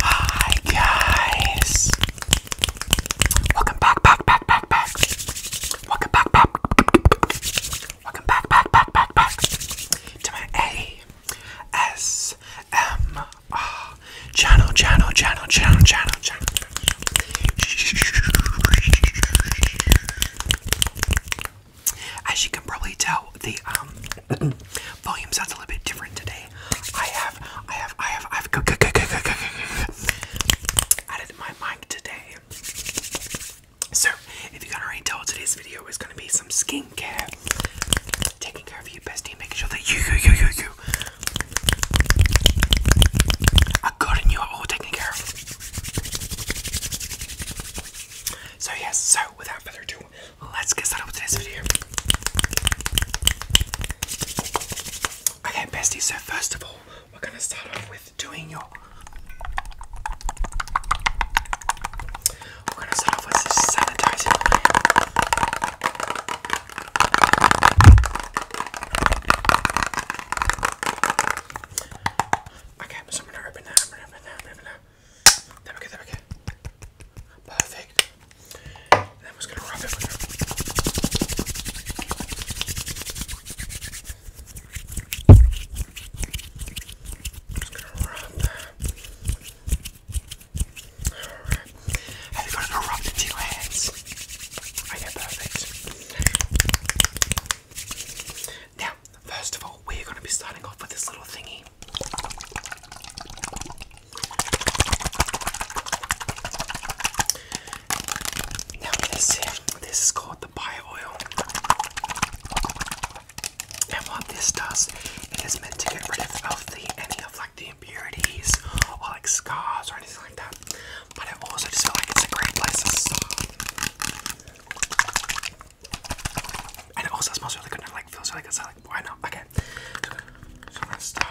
Hi guys! Welcome back, back, back, back, back. Welcome back, back. Welcome back, back, back, back, back to my A S M R channel, channel, channel, channel, channel, channel. As you can probably tell, the um volume sounds a little bit different today. I have, I have, I have, I've added my mic today. So, if you can already tell, today's video is going to be some skincare, taking care of you, bestie, making sure that you, you, you, you, you are good and you are all taken care of. So yes, so without further ado, let's get started with this video. Okay, bestie, so first of all, we're gonna start off with doing your We're gonna start off with sanitizing Okay, so I'm gonna open that, there we go, there we go. Perfect. And then I'm just gonna rub it with her. Just gonna rub that. Alright. Have you got it all rubbed into your hands? Oh yeah, perfect. Now, first of all, we're going to be starting off with this little thingy. Now, this is called the bio oil. And what this does, it is meant to get rid of, of the, any of like the impurities or like scars or anything like that. But I also just feel like it's a great place and it also smells really good and like feels really good, so like why not? Okay. Okay. And then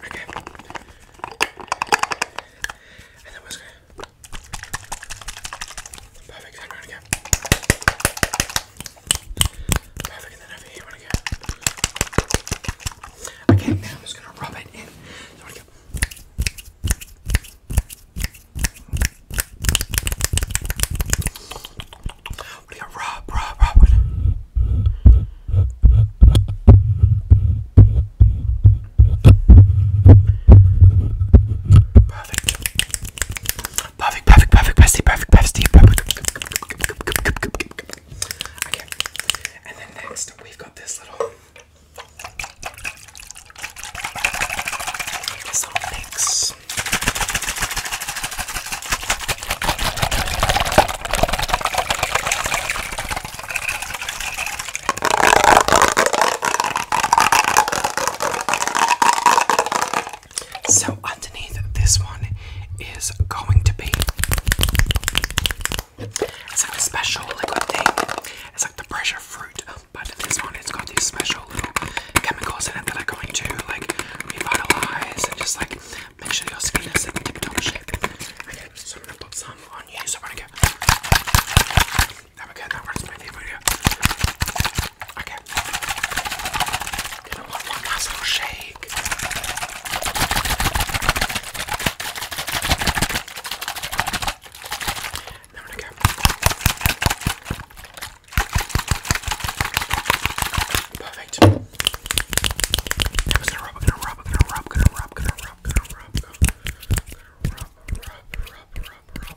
we're gonna Perfect, Grab it and then over here when I go. Okay, now I'm just gonna rub it in. So I go. What do you rub, rub, rub it? Perfect. Perfect, perfect, perfect, bestie, perfect, bestie, perfect. Okay, and then next we've got this little, this little mix. So underneath this one is going to be it's like special liquid thing. It's like the pressure fruit, but this one it's got these special little chemicals in it that are going to like revitalize and just like make sure your skin is in tip-top shape. Okay, so I'm gonna put some on you. So I'm gonna go. There we go. That one's my favorite. Okay. Gonna want one last little shake. There we go. Perfect. I'm just gonna rub, gonna rub, gonna rub, gonna rub, gonna rub, gonna rub, gonna rub, gonna rub, rub, rub, rub.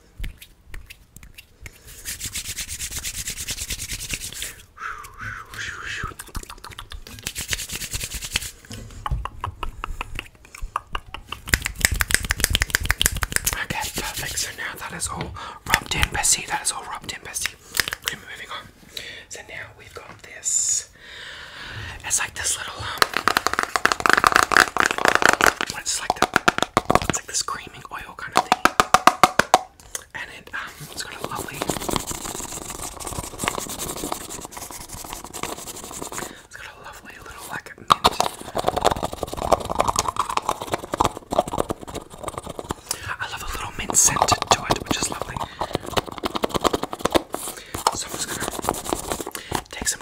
Okay, perfect. So now that is all rubbed in, bestie. That is all rubbed in, bestie. moving on. So now we've got this. It's like this little um. like It's like this cream it, has got a lovely, it's got a lovely little like mint. I love a little mint scent to it, which is lovely. So I'm just gonna take some.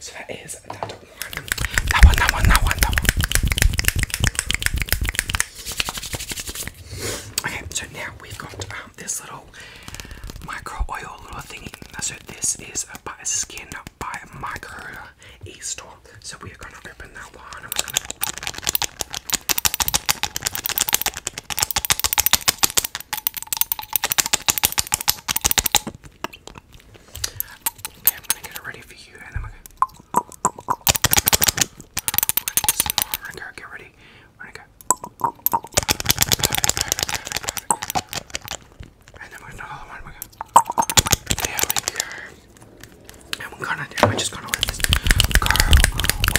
So that is that one. That one, that one, that one, Okay, so now we've got um, this little micro oil little thingy. So this is by Skin by Micro E-Store. So we are going to open that one Okay, I'm gonna get it ready for you, and then we're gonna. We're gonna get some more. We're gonna go get ready. We're gonna go. And then we're gonna another one. We're gonna. There we go. And we're gonna. I'm just gonna let this go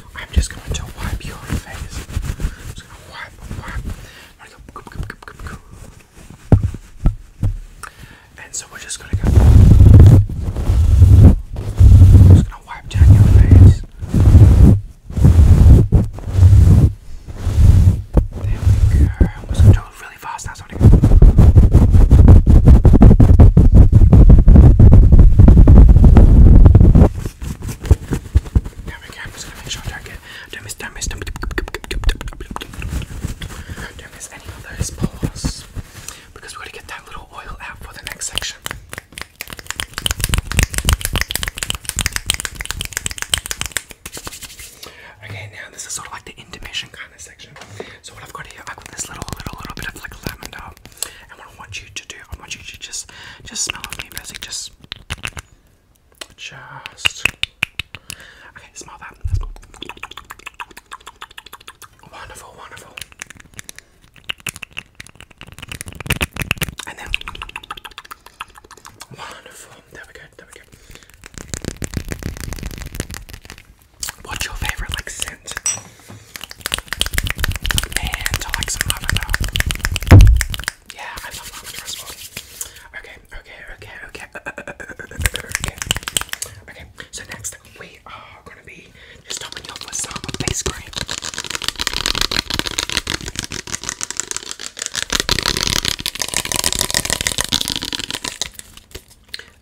I'm just going to wipe your face. just going to wipe, wipe. i And so we're just going to go. just going to wipe down your face. There we go. I'm going to do it really fast now, so go. I'm gonna don't get miss any of those pores. Because we got to get that little oil out for the next section. Okay, now this is sort of like the intimation kind of section. So what I've got here, I've got this little, little, little bit of like lavender, and what I want you to do, I want you to just just smell on me, Bessie. Just just Okay, smell that. Wonderful, wonderful. And then wonderful. There we go, there we go. What's your favorite like scent? And I like some lavender. Yeah, I love lavender as well. Okay, okay, okay, okay. okay. Okay, so next we are gonna be just topping you up with some face cream.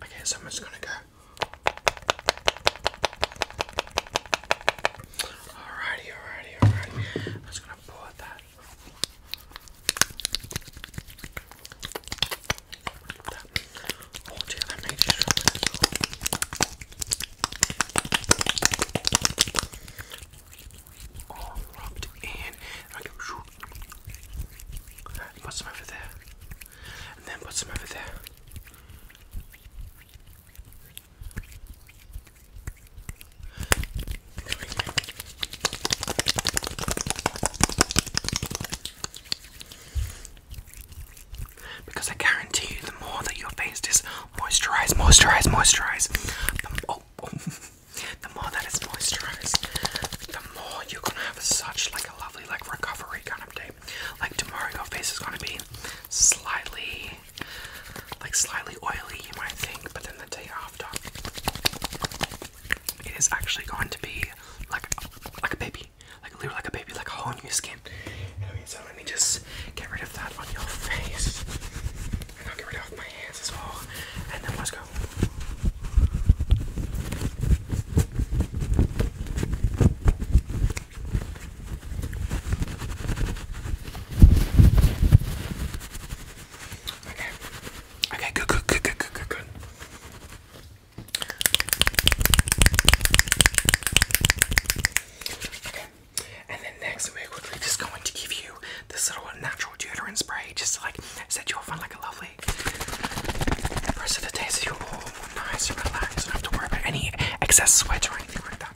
Okay, so I'm just gonna go Alrighty, alrighty, alrighty. I'm just gonna pull that. Oh dear, that made you strong. All rubbed in. Put some over there. And then put some over there. Because I guarantee you, the more that your face is moisturized, moisturized, moisturized, the, oh, oh, the more that it's moisturized, the more you're gonna have such like a lovely like recovery kind of day. Like tomorrow your face is gonna be slightly like slightly oily you might think, but then the day after it is actually going to be like like a baby. Like literally like a baby, like a whole new skin. so let me just get rid of that on your face. And I'll get rid of my hands as well. And then let's go. Okay. Okay, good, good, good, good, good, good, Okay. And then next we're just going to give you this little natural deodorant spray just to like set you off on like a lovely rest of the day so comfortable, nice, and don't have to worry about any excess sweat or anything like that.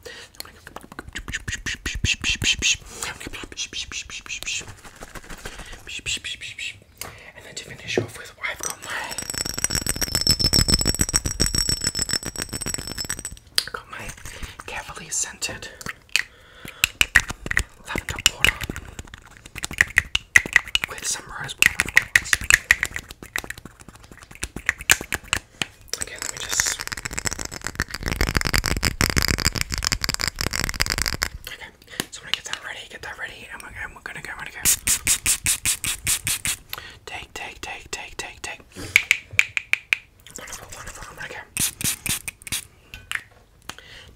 And then to finish off with, I've got my, i scented lavender water with some rose water, Okay, let me just. Okay, so I'm gonna get that ready, get that ready, and we're, and we're gonna go, we're gonna go. Take, take, take, take, take, take. Wonderful, wonderful, I'm gonna go.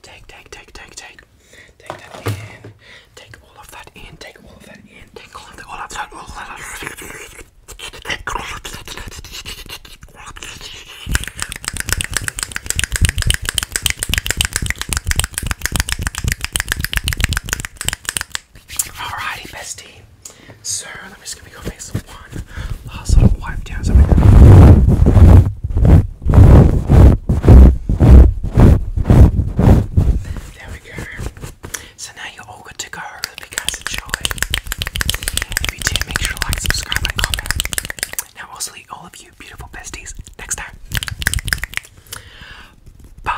Take, take, take, take, take. Take that in. Take all of that in. Take all of that in. Take all of that. All of that. All of that. Alrighty, bestie. So let me just gonna go make some one last little wipe down. So there we go. So now you're all good to go. Hope you guys enjoyed. If you did, make sure to like, subscribe, and comment. Now i all of you beautiful besties next time. Bye.